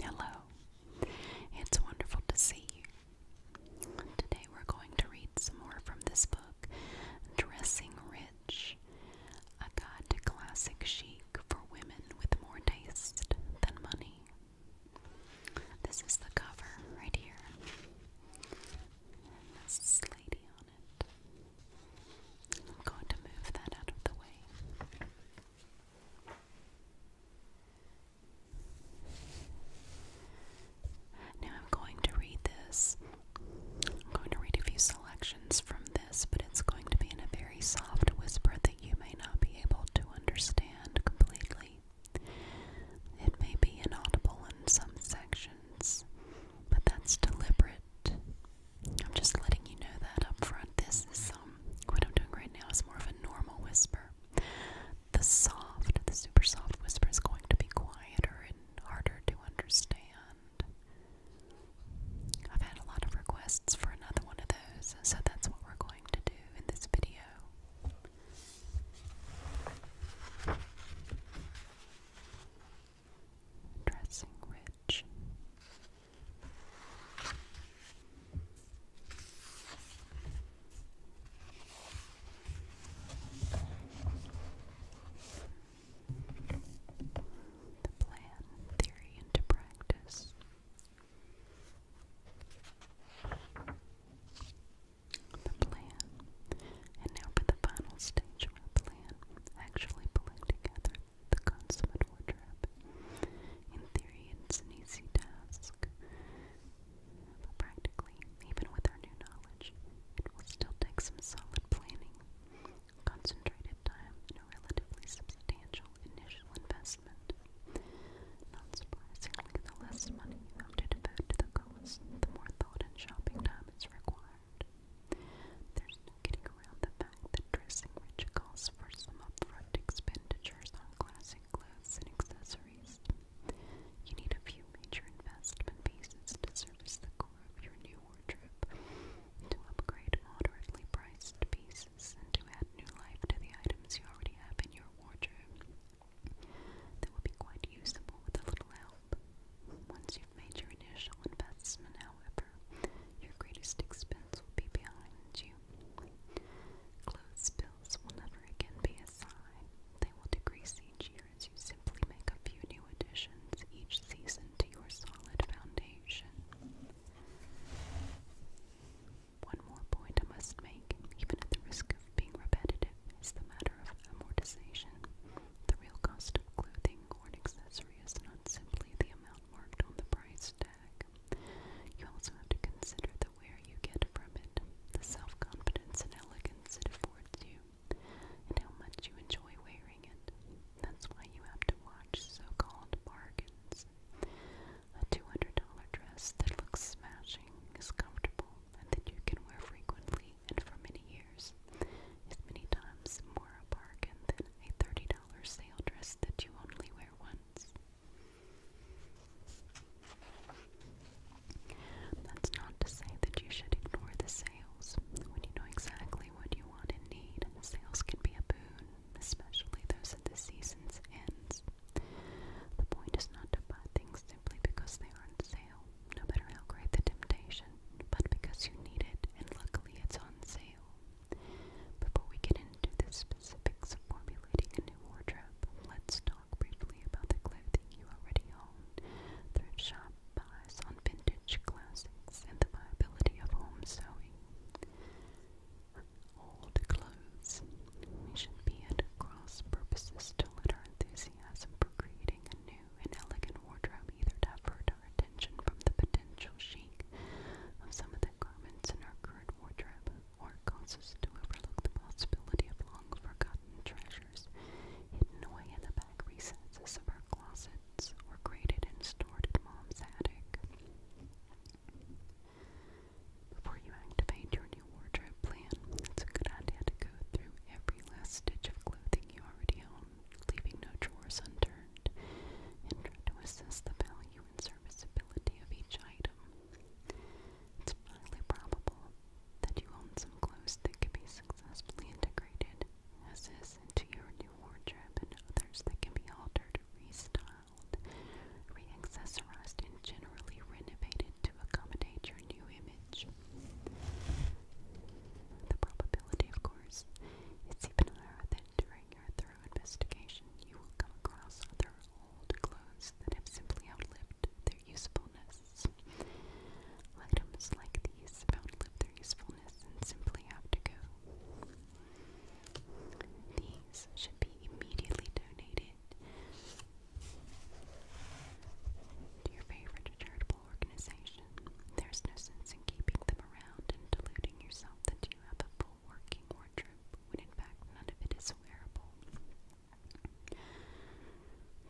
Hello. It's wonderful to see you. Today we're going to read some more from this book, Dressing Rich, a guide classic chic for women with more taste than money. This is the cover right here. this lady on it. I'm going to move that out of the way. Now I'm going to read this. I'm going to read a few selections from this, but it's going to be in a very soft whisper that you may not be able to understand completely. It may be inaudible in some sections, but that's deliberate. I'm just letting you know that up front. This is some what I'm doing right now is more of a normal whisper. The soft, the super soft whisper is going to be quieter and harder to understand. I've had a lot of requests for another one of those, so that's what we're going to do in this video. Dressing Rich. The plan, theory, into practice. The plan. And now for the final stage where a plan actually pulling together the consummate wardrobe. In theory, it's an easy task, but practically, even with our new knowledge, it will still take some solid planning, concentrated time, and a relatively substantial initial investment. Not surprisingly, the less money you have to devote to the cause, the more thought and shopping time is required. There's no getting around the fact that dressing rich calls for some upfront expenditures on classic clothes and accessories. You need a few major investment pieces to service the core of your new wardrobe, to upgrade moderately priced pieces, and to add new life to the items you already have in your wardrobe. They will be quite usable with a little help. Once you've made your initial investment, however, your greatest expense will be behind you Clothes bills will never again be a sign. They will decrease each year as you simply make a few new additions each season to your solid foundation. One more point I must make, even at the risk of being repetitive, is the matter of amortization. The real cost of clothing or an accessory is not simply the amount marked on the price tag. You also have to consider the where you get from it, the self confidence and elegance it affords you, and how much you enjoy wearing it. That's why you have to watch so called bargains. A $200 dress that looks smashing, is comfortable, and that you can wear frequently and for many years is many times more a bargain than a $30 sale dress that you only wear once. That's not to say that you should ignore the sales. When you know exactly what you want and need, sales can be a boon, especially those at the season's ends. The point is not to buy things simply because they are on sale, no matter how great the temptation, but because you need it and luckily it's on sale. Before we get into the specifics of formulating a new wardrobe, let's talk briefly about the clothing you already own. Thrift shop buys on vintage classics and the viability of home sewing. Old clothes. We should be at cross purposes to let our enthusiasm for creating a new and elegant wardrobe either divert our attention from the potential chic of some of the garments in our current wardrobe or cause us to overlook the possibility of long forgotten treasures hidden away in the back recesses of our closets or crated and stored in mom's attic. Before you activate your new wardrobe plan, it's a good idea to go through every last stitch of clothing you already own, leaving no drawers unturned, and try to assess the value and serviceability of each item. It's highly probable that you own some clothes that can be successfully integrated as is into your new wardrobe and others that can be altered, restyled, re-accessorized, and generally renovated to accommodate your new image. The probability, of course, is even higher that during your thorough investigation you will come across other old clothes that have simply outlived their usefulness. Items like these have outlived their usefulness and simply have to go. These should be immediately donated to your favorite charitable organization. There's no sense in keeping them around and deluding yourself that you have a full working wardrobe when in fact none of it is wearable.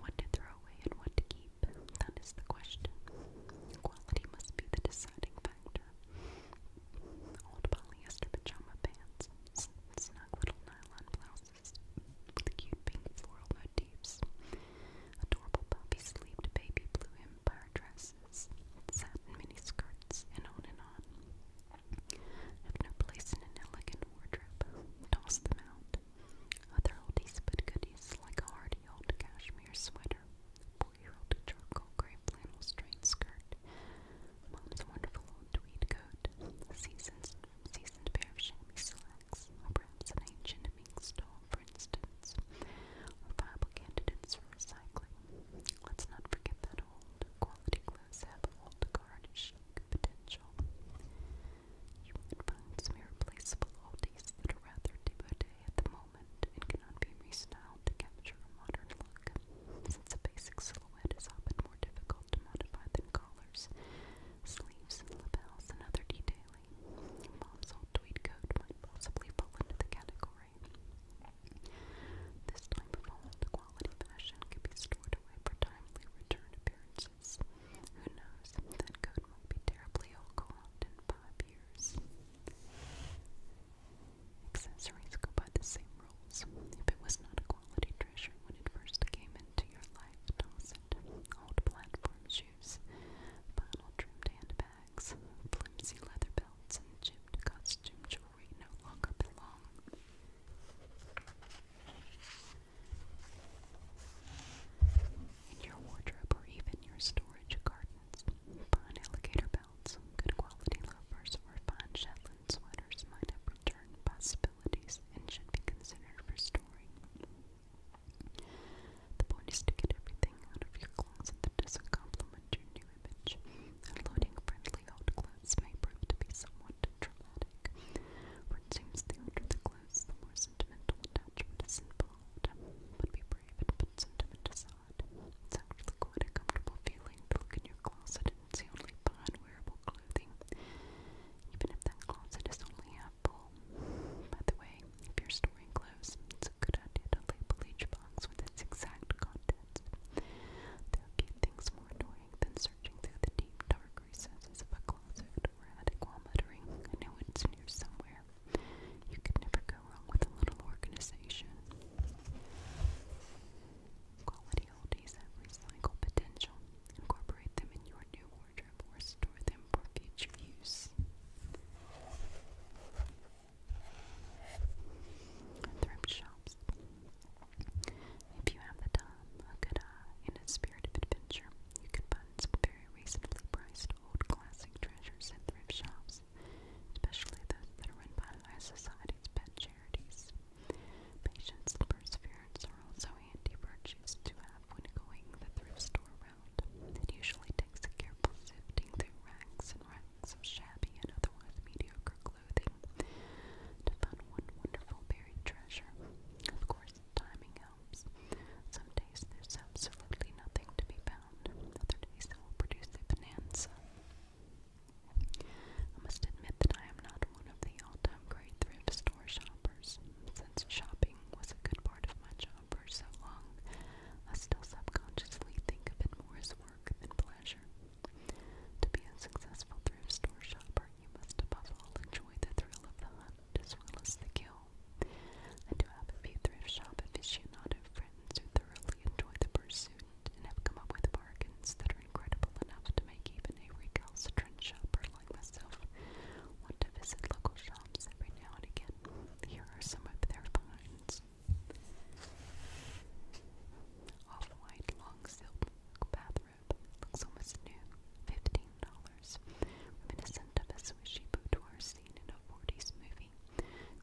What to throw away and what to keep, that is the question. Quality must be the deciding factor. Old polyester pajama pants, snug little nylon blouses, the cute pink floral motifs, adorable puppy-sleeved baby blue empire dresses, satin mini skirts, and on and on. Hefner placed in an elegant wardrobe, tossed them out. Other oldies but goodies, like a hardy old cashmere sweater, a 4 charcoal gray flannel straight skirt, mom's wonderful old tweed coat, a seasoned, seasoned pair of chamois slacks, or perhaps an ancient stole, for instance, are viable candidates for recycling. Let's not forget that old quality humans have old garnishing potential. Human finds some irreplaceable oldies that are rather devoted at the moment and cannot be restyled to capture a modern look. Since a basic silhouette is often more difficult to modify than collars, sleeves, lapels, and other detailing, mom's old tweed coat might possibly fall into the category quality fashion can be stored away for timely return appearances. Who knows? That coat will be terribly old in five years. Accessories go by the same rules. If it was not a quality treasure when it first came into your life, toss it. Old platform shoes, vinyl trimmed handbags, flimsy leather belts, and chipped costume drawers we no In your wardrobe or even your storage gardens, fine alligator belts, good quality loafers, or fine Shetland sweaters might have return possibilities and should be considered for storing. The point is to get everything out of your closet that doesn't complement your new image. A loading friendly slightly held clothes may prove to be somewhat traumatic. For it seems the older the clothes, the more sentimental attachment is involved. But be brave and put sentiment aside. It's actually quite a comfortable feeling to look in your closet and see only fine wearable clothing, even if that closet is only half full. By the way, if you're storing clothes, it's a good idea to label each box with its exact contents. There are few things more annoying strength and searching through the deep, dark recesses of a closet or attic while muttering, I know it's near somewhere. You could never go wrong with a little organization. Quality oldies have recycle potential. Incorporate them in your new wardrobe or store them for future use. Thrift shops. If you have the time, a good eye, and a spirit of adventure, you can find some very reasonably priced old classic treasures in thrift shops, especially those that are run by high society's pet charities. Patience and perseverance are also handy virtues to have when going the thrift store route. It usually takes a careful sifting through racks and racks of shabby and otherwise mediocre clothing to find one wonderful buried treasure. Of course, timing helps. Some days there's absolutely nothing to be found, other days it will produce a bonanza. I must admit that I am not one of the all-time great thrift store shoppers. Since shopping was a good part of my job for so long, I still subconsciously think of it more as work than pleasure. To be a successful thrift store shopper, you must above all enjoy the thrill of the hunt as well as the kill. I do have a few thrift shop aficionado friends who thoroughly enjoy the pursuit and have come up with bargains that are incredible enough to make even a recalcitrant shopper like myself want to visit local shops every now and again. Here are some of their finds. Off-white long silk bathrobe. Looks almost new. Fifteen dollars. Reminiscent of a swishy boudoir scene in a forties movie.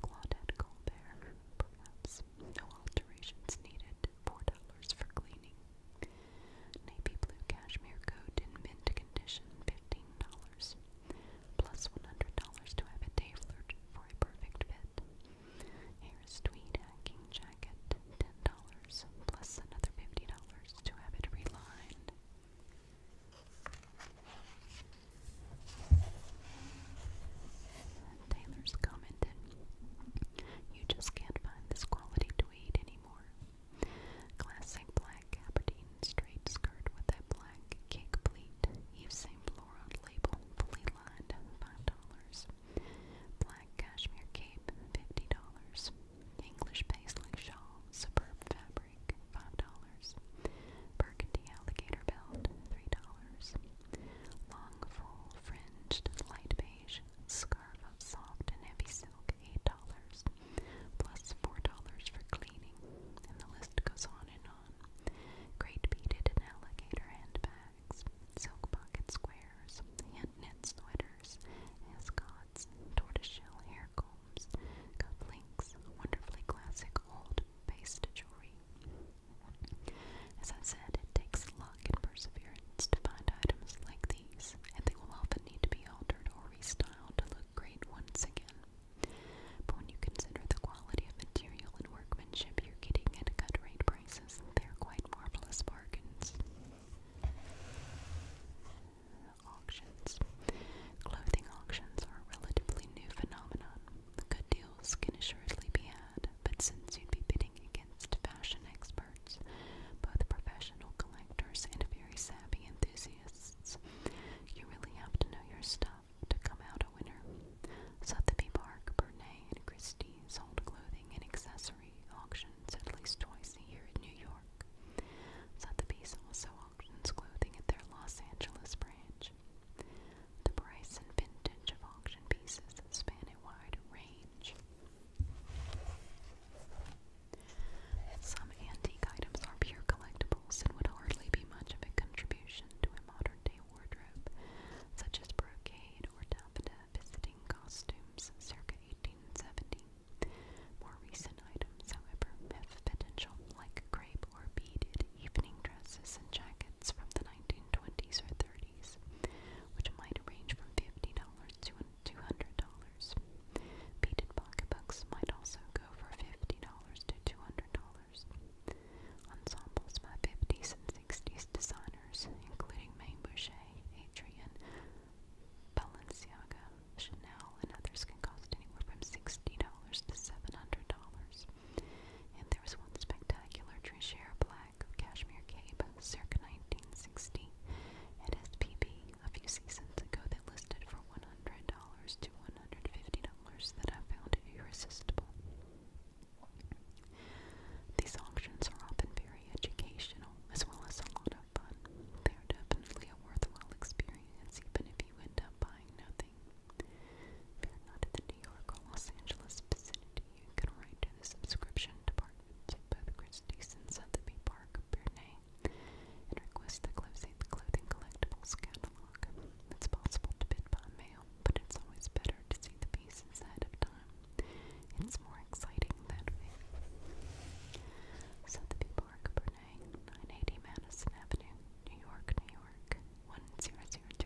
Claudette Colbert, perhaps. No alterations needed. Four dollars for cleaning. Navy blue cashmere coat in mint condition. Fifteen dollars. Plus one hundred dollars to have it tailored for a perfect fit. Harris Tweed hacking jacket, $10, plus another $50 to have it relined. Taylor's commented, You just can't find this quality tweed anymore. Classic black Aberdeen straight skirt with a black cake pleat, Yves Saint label, fully lined, $5. Black cashmere cape, $50. English paisley shawl, superb fabric, $5. Burgundy alligator belt, $3. Long full fringed light beige scarf of soft and heavy silk, $8. Plus $4 for cleaning. And the list goes on and on. Great beaded alligator handbag bags, silk pocket squares, hand-knit sweaters, ascots, tortoiseshell hair combs, cufflinks, wonderfully classic old paste jewelry. As I said, it takes luck and perseverance to find items like these, and they will often need to be altered or restyled to look great once again. But when you consider the quality of material and workmanship you're getting at a cut rate prices. They're quite marvelous bargains. Auctions. Clothing auctions are a relatively new phenomenon. Good deals can assuredly be had, but since you'd be bidding against fashion experts, both professional collectors and very savvy enthusiasts, you really have to know your stuff to come out a winner. Sotheby Park, Bernay, and Christie's hold clothing and accessories free auctions at least twice a year in New York. Sotheby's also auctions clothing at their Los Angeles branch. The price and vintage of auction pieces span a wide range. Some antique items are pure collectibles and would hardly be much of a contribution to a modern day wardrobe, such as brocade or taffeta visiting costumes circa 1870. More recent items, however, have potential, like crepe or beaded evening dresses and jackets from the 1920s or 30s, which might range from $50 to $200. Beaded pocketbooks might also go for $50 to $200. Ensembles by 50s and 60s designers, including Maine Adrian, Balenciaga, Chanel, and others can cost anywhere from $60 to $700. And there was one spectacular Trichère Black cashmere cape circa 1960 at SPB a few seasons ago that listed for $100 to $150 that I found irresistible. These auctions are often very educational as well as a lot of fun. They are definitely a worthwhile experience even if you end up buying nothing. If you're not in the New York or Los Angeles vicinity, you can write to the subscription departments of both Christie's and Sotheby Park, Bernay, and request the Clothing, clothing Collectibles catalog. It's possible to bid by mail, but it's always better to see the pieces ahead of time. It's more exciting that way. So the people are Cabernet, 980 Madison Avenue, New York, New York, 10021.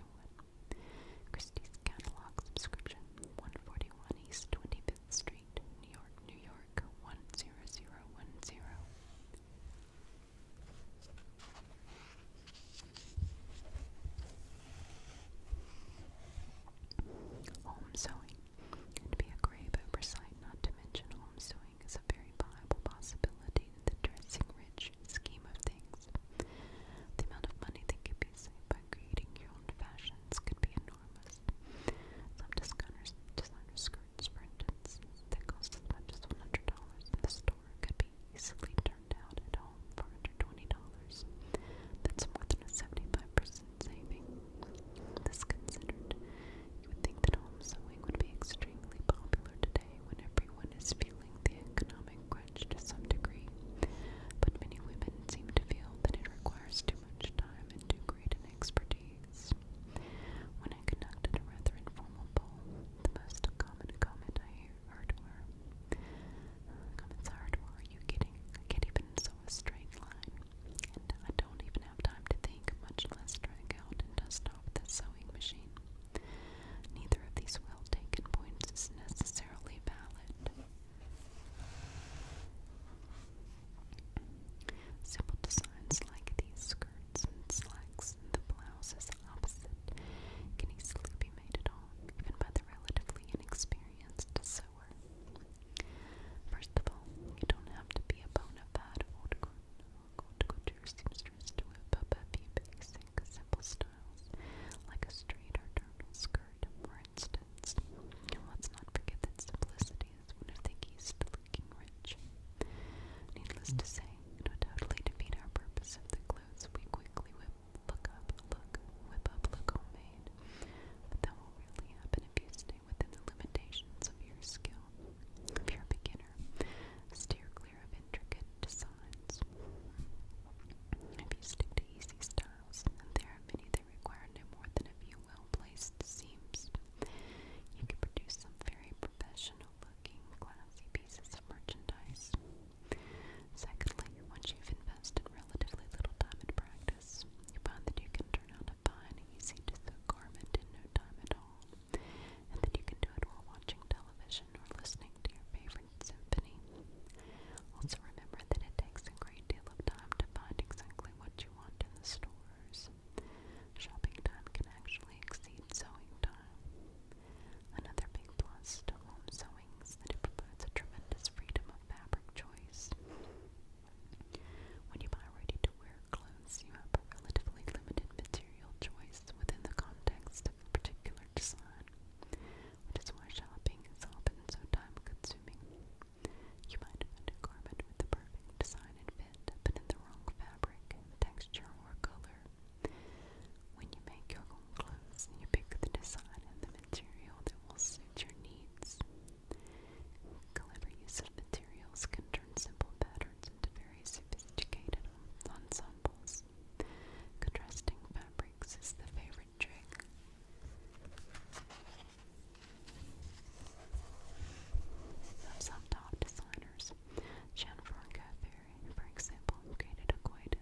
Christie's Catalog Subscription, 141 East 25th Street, New York, New York, 10010. Home sewing. And be a grave oversight not to mention home sewing is a very viable possibility in the dressing rich scheme of things. The amount of money that could be saved by creating your own fashions could be enormous. Some designers, designer skirts, for instance, that cost as much as $100 in the store could be easily turned out at home home dollars That's more than a 75% saving. This considered, you would think that home sewing would be extremely popular today when everyone is feeling the economic crunch to some degree. But many women seem to feel that it requires too much time and too great an expertise. When I conducted a rather informal poll, the most common comment I heard were, uh, comments are, are you kidding? I can't even a straight line, and I don't even have time to think, much less drag out and dust off the sewing machine. Neither of these well taken points is necessarily valid. Simple designs like these skirts and slacks the blouses opposite can easily be made at home, even by the relatively inexperienced power. First of all, you don't have to be a bona fide old couture seamstress to whip up a few basic, simple styles, like a straight or turtle skirt, for instance. And let's not forget that simplicity is one of the keys to looking rich. Needless to say, it would totally defeat our purpose if the clothes we quickly whip look up, look, whip up, look homemade. But that will really happen if you stay within the limitations of your skill. If you're a beginner, steer clear of intricate designs. If you stick to easy styles, and there are many that require no more than a few well-placed seams, you can produce some very professional-looking, classy pieces of merchandise. Secondly, once you've invested relatively little time in practice, you find that you can turn out a fine, easy to sew garment in no time at all, and that you can do it while watching television or listening to your favorite symphony. Also, remember that it takes a great deal of time to find exactly what you want in the stores. Shopping time can actually exceed sewing time. Another big plus to home sewing sewings that it provides a tremendous freedom of fabric choice. When you buy ready-to-wear clothes, you have a relatively limited material choice within the context of a particular design, which is why shopping is often so time-consuming. You might find a garment with the perfect design and fit, but in the wrong fabric, texture, or color. When you make your own clothes, you pick the design and the material that will suit your needs. Clever use of materials can turn simple patterns into very sophisticated ensembles. Contrasting fabrics is the favorite trick. some top designers, Gianfranco Ferri, for example, created a quite,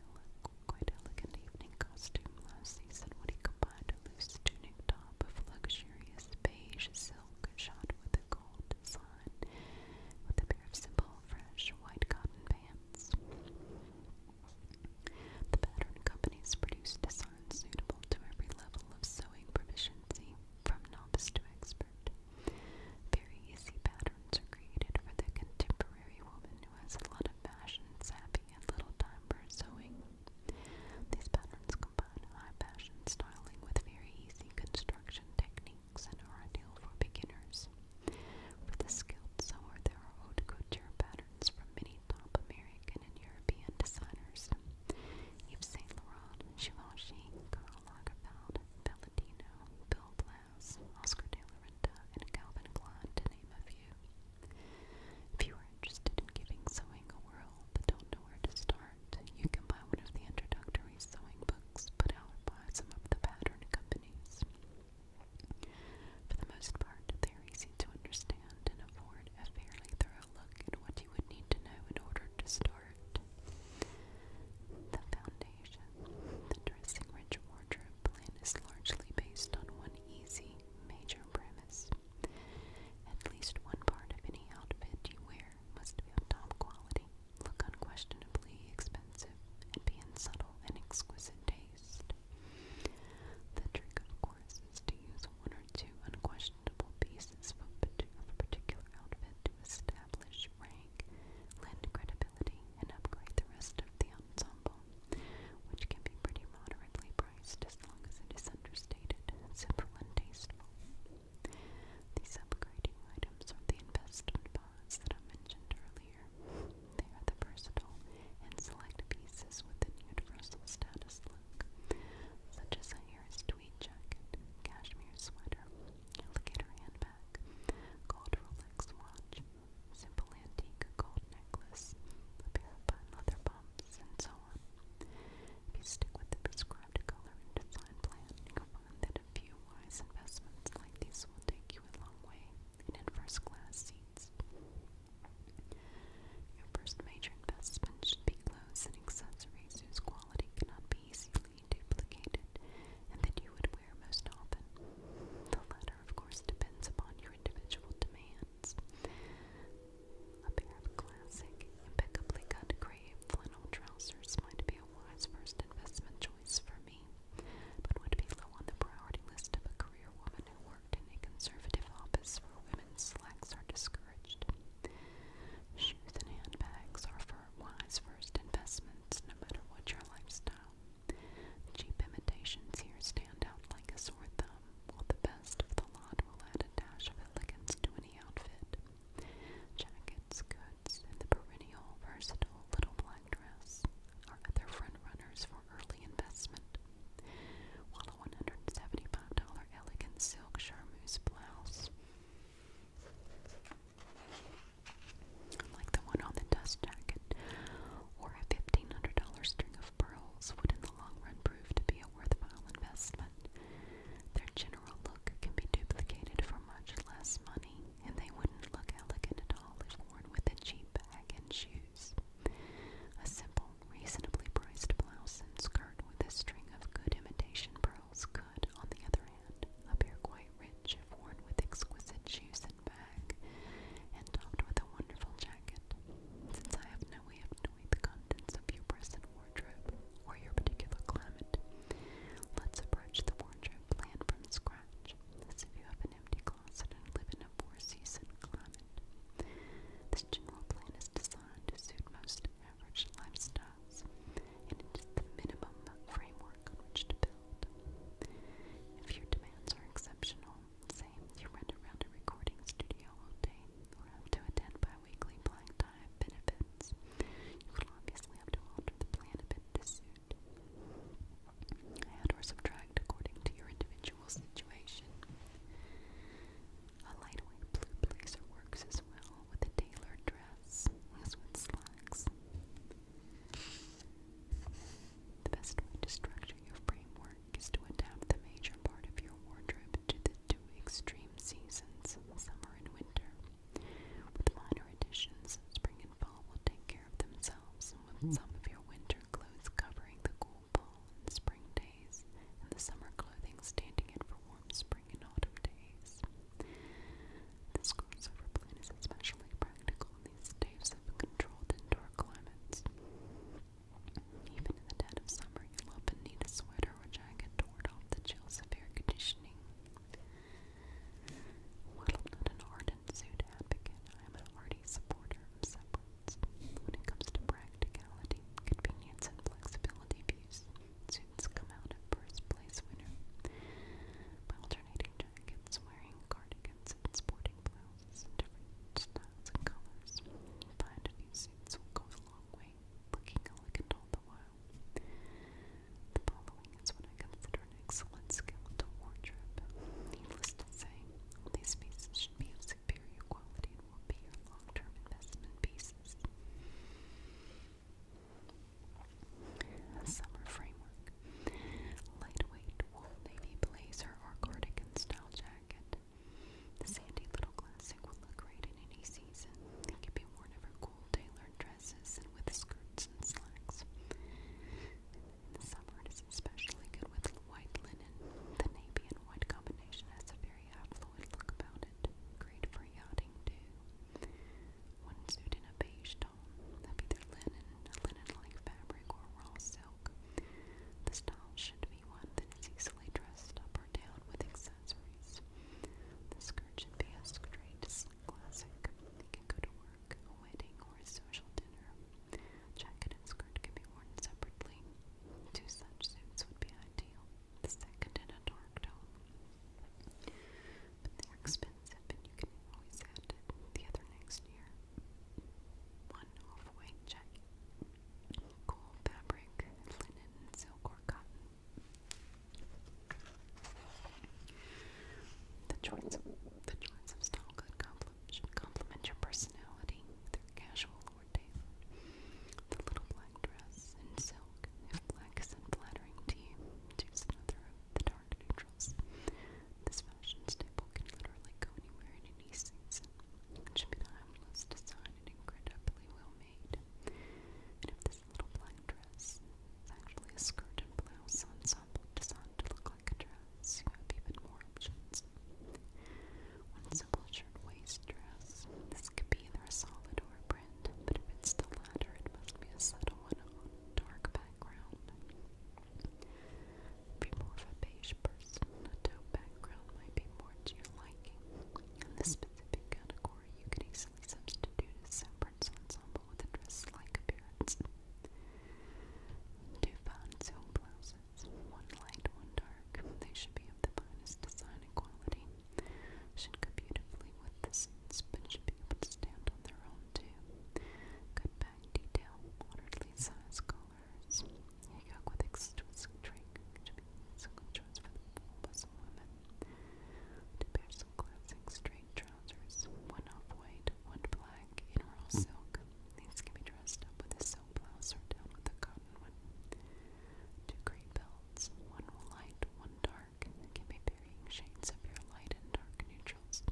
quite elegant evening costume last season when he clad loose tunic top of luxurious beige silk shot with a gold design, with a pair of simple, fresh, white cotton pants. The pattern companies produce designs suitable to every level of sewing proficiency, from novice to expert. Very easy patterns are created for the contemporary woman who has a lot of fashion, savvy, and little time for sewing. These patterns combine high passion styling with very easy construction techniques and are ideal for beginners. For the skilled sewer, there are haute couture patterns from many top American and European designers. Yves Saint Laurent, Karl Lagerfeld, Valentino, Bill Blouse, Oscar de la Renta, and Calvin Klein, to name a few. If you are interested in giving sewing a whirl but don't know where to start, you can buy one of the introductory sewing books put out by some of the pattern companies. For the most part, they are easy to understand and afford a fairly thorough look at what you would need to know in order to start. The foundation, the dressing rich wardrobe plan is largely based on one easy major premise. At least one part of any outfit you wear must be of top quality, look unquestionably expensive, and be in subtle and exquisite taste. The trick, of course, is to use one or two unquestionable pieces of a particular outfit to establish rank, lend credibility, and upgrade the rest of the ensemble, which can be pretty moderately priced. Christ as long as it is understated, simple, and tasteful. These upgrading items are the investment bonds that I mentioned earlier. They are the versatile and select pieces with an universal status look, such as a Harris tweed jacket, cashmere sweater, alligator handbag, gold Rolex watch, simple antique gold necklace, a pair of leather pumps, and so on. If you stick with the prescribed color and design plan, you'll find that a few wise investments like these will take you a long way and in first class seats. Your first major investment should be clothes and accessories whose quality cannot be easily duplicated and that you would wear most often. The latter, of course, depends upon your individual demand a pair of classic, impeccably cut gray flannel trousers might be a wise first investment choice for me, but would be low on the priority list of a career woman who worked in a conservative office where women's slacks are discouraged. Shoes and handbags are for wise first investments, no matter what your lifestyle. Cheap imitations here stand out like a sore thumb while the best of the lot will add a dash of elegance to any outfit. Jackets, coats, and the perennial versatile little black dress are other front-runners for early investment, while a $175 elegant silk charmeuse blouse like the one on the dust jacket, or a $1,500 string of pearls would in the long run prove to be a a worthwhile investment. Their general look can be duplicated for much less money, and they wouldn't look elegant at all if worn with a cheap bag and shoes. A simple, reasonably priced blouse and skirt with a string of good imitation pearls could, on the other hand, appear quite rich if worn with exquisite shoes and bag, and topped with a wonderful jacket. Since I have no no way of knowing the contents of your present wardrobe or your particular climate. Let's approach the wardrobe plan from scratch, as if you have an empty closet and live in a four-season climate. This general plan is designed to suit most average lifestyles, and it is the minimum framework on which to build. If your demands are exceptional, say, you run around a recording studio all day, or have to attend bi-weekly black benefits. You will obviously have to alter the plan a bit suit. Add or subtract according to your individual situation. A lightweight blue blazer works as well with a tailored dress, as with slacks. The best way to structure your framework is to adapt the major part of your wardrobe to the two extreme seasons, summer and winter. With minor additions, spring and fall will take care of themselves, with some of your winter clothes covering the cool fall and spring days, and the summer clothing standing in for warm spring and autumn days. This crossover plan is especially practical in these days of controlled indoor climates. Even in the dead of summer, you'll often need a sweater or jacket to ward off the chills of air conditioning. While I'm not an ardent suit advocate, I am an hearty supporter of separates. When it comes to practicality, convenience, and flexibility of use, suits come out at first place winner. By alternating jackets, wearing cardigans, and sporting blouses in different styles and colors, you find a few suits will a long way, looking elegant all the while. The following is what I consider an excellent skeletal wardrobe. Needless to say, these pieces should be of superior quality and will be your long-term investment pieces. Summer framework. Lightweight wool navy blazer or cardigan style jacket. The sandy little classic will look great in any season. It can be worn over cool tailored dresses and with skirts and slacks. In the summer, it is especially good with white linen. The navy and white combination has a very affluent look about it. Great for yachting, too. One suit in a beige tone of either linen, a linen-like fabric, or raw silk. The style should be one that is easily dressed up up or down with accessories. The skirt should be a straight, classic. It can go to work, a wedding, or a social dinner. Jacket and skirt can be worn separately. Two such suits would be ideal, second in a dark tone. But they're expensive and you can always add the other next year. One off-white cool fabric, linen, silk, or cotton. The choice of, the choice of style could complement, complement your personality, either casual or date? The little black dress in silk, if black is flattering to you, choose another of the dark neutrals. This fashion staple can literally go anywhere in any season. It should be timeless design fun incredibly well made. And if this little black dress is actually a skirt and blouse ensemble designed to look like a dress, you have even more options. One simple shirt waist dress. This could be either a solid or a print, but if it's the latter, it must be a subtle one on dark background. If you're more of a beige person, a taupe background might be more to your liking. In this specific category, you could easily substitute a separate ensemble with a dress-like appearance. Two fine silk blouses, one light, one dark. They should be of the finest design and quality. Should go beautifully with the suits, should be able to stand on their own too. Good back detail, moderately sized collar dollars. New pair some classic straight trousers, one off white, one black, in rural silk. These can be dressed up with a silk blouse or down with a cotton one. Two great belts, one light, one dark, can be varying shades of your light and dark neutrals.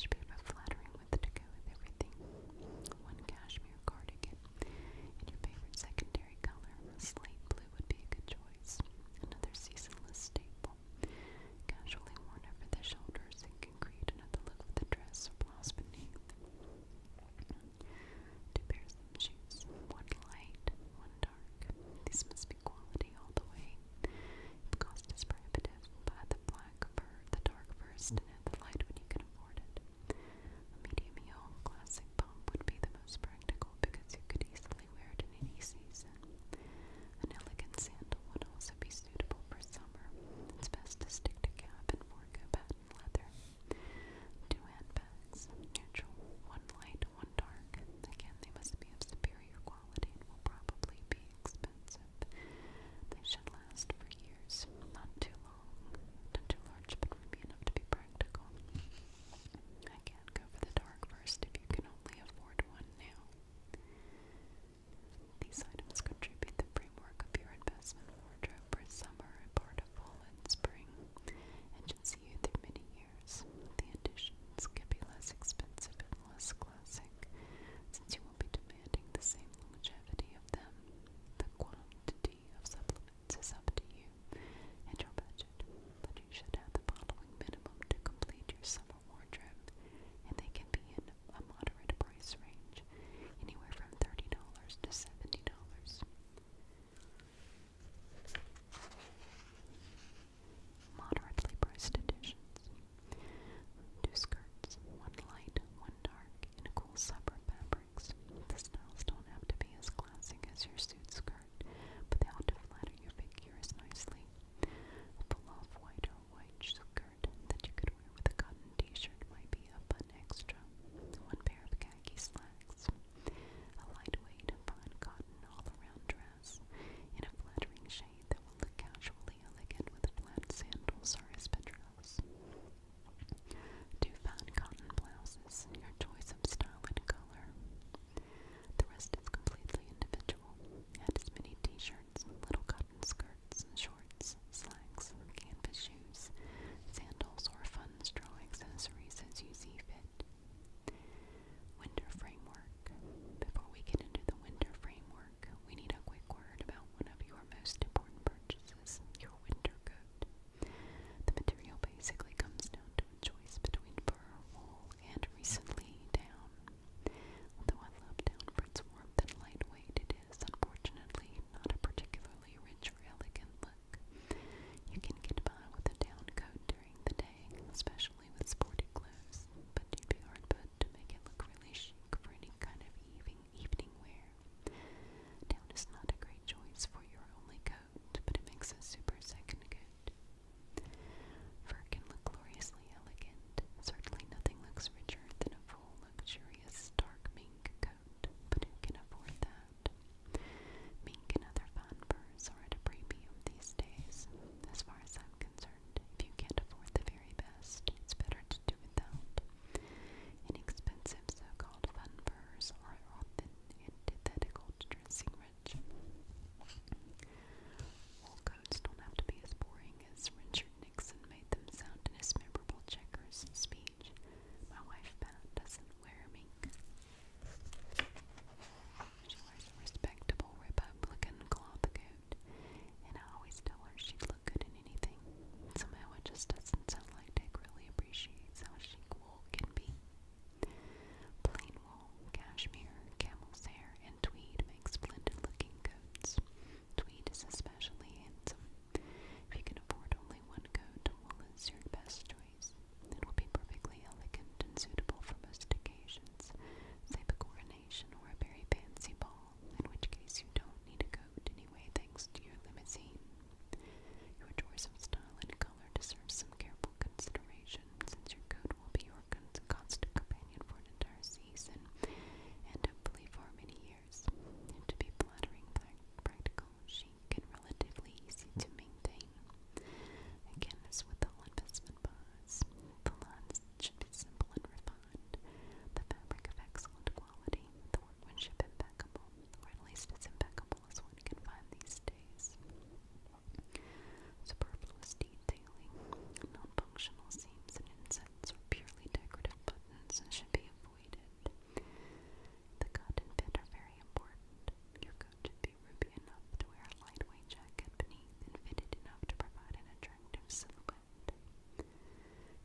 Should be about flattering with to go with everything. One cashmere cardigan, your favorite secondary color, slate blue would be a good choice. Another seasonless staple. Casually worn over the shoulders, it can create another look with the dress or blouse beneath. Two pairs of shoes, one light, one dark. These must be quality all the way. If cost is prohibitive, buy the black fur, the dark first, and the light when you can afford it. A medium heel classic pump would be the most practical because you could easily wear it in any season. An elegant sandal would also be suitable for summer. It's best to stick to cap and forego patent leather. Two handbags, neutral, one light, one dark. Again, they must be of superior quality and will probably be expensive. They should last for years, not too long, not too large, but roomy enough to be practical. I can't go for the dark first if you can only afford one now. These items contribute the framework of your investment wardrobe for summer and part of fall and spring, and should see you through many years. The additions can be less expensive and less classic, since you won't be demanding the same longevity of them. The quantity quantity of supplements is up to you and your budget, but you should have the following minimum to complete your summer wardrobe, and they can be in a moderate price range, anywhere from $30 to $70. Moderately priced editions. Two skirts, one light, one dark, in a cool summer fabric fabrics. The styles don't have to be as classic as your suit skirt, but they ought to flatter your figure as nicely. A pull-off white or white skirt that you could wear with a cotton t-shirt might be a fun extra. One pair of khaki slacks, a lightweight, fine cotton all-around dress in a flattering shade that will look casually elegant with flat sandals or espadrilles. Two fine cotton blouses in your choice of style and color. The rest is completely individual. Add as many t-shirts, little cotton skirts, shorts, slacks, canvas shoes, sandals, or fun straw accessories as you see fit. Winter framework. Before we get into the winter framework, we need a quick word about one of your most important purchases, your winter coat. The material basically comes down to a choice between fur, wool, and recently down. Although I love down for its warmth and lightweight, it is unfortunately not a particularly rich or elegant look. You can get by with a down coat during the day, especially with sporty clothes, but you'd be hard put to make it look really chic for any kind of evening evening wear. Down is not a great choice for your only coat but it makes a super second coat. Fur can look gloriously elegant. Certainly nothing looks richer than a full, luxurious, dark mink coat, but who can afford that? Mink and other fun furs are a premium these days. As far as I'm concerned, if you can't afford the very best, it's better to do without. Inexpensive so-called fun furs are antithetical dressing rich. Wool coats don't have to be as boring as Richard Nixon made them sound in his memorable checkers speech. My wife, Pat, doesn't wear mink. She wears a respectable Republican cloth coat, and I always tell her she'd look good in anything. Somehow it just doesn't sound like Dick really appreciates how chic wool can be. Plain wool, cashmere, camel's hair, and tweed make splendid looking coats. Tweed is especially handsome. If you can afford only one coat, wool is your best choice. It will be perfectly elegant and suitable for most occasions, say a coronation or a very fancy ball, in which case you don't need a coat anyway thanks to your limousine. Your choice of style and color deserves some careful consideration, since your coat will be your constant companion for an entire season, and hopefully for many years. And to be flattering, practical, chic, and relatively easy to maintain. Again, as with all investment buys, the lines should be simple and refined, the fabric of excellent quality, the workmanship impeccable, at least as impeccable as one can find these days. Superfluous detailing, non functional seams and insets, or purely decorative buttons should be avoided. The cut and fit are very important. Your coat should be ruby enough to wear a lightweight jacket beneath and fitted enough to provide an attractive silhouette.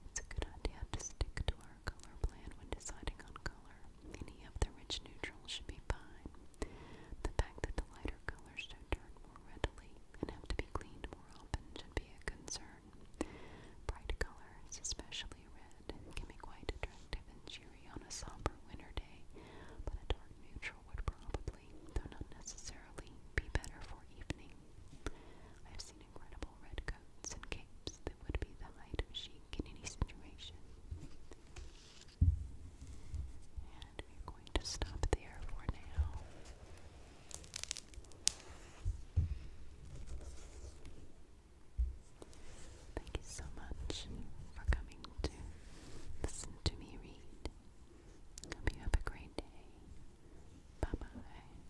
It's a good idea to stick to our color plan when deciding on color. Any of the rich neutrals should be fine. The fact that the lighter colors don't more readily and have to be cleaned more often should be a concern. Bright colors, especially red, can be quite attractive and cheery on a somber winter day, but a dark neutral would probably, though not necessarily, be better for evening. I've seen incredible red coats and capes that would be the height of chic in any situation. And we're going to stop there for now. Thank you so much for coming to listen to me read. Hope you have a great day. Bye bye.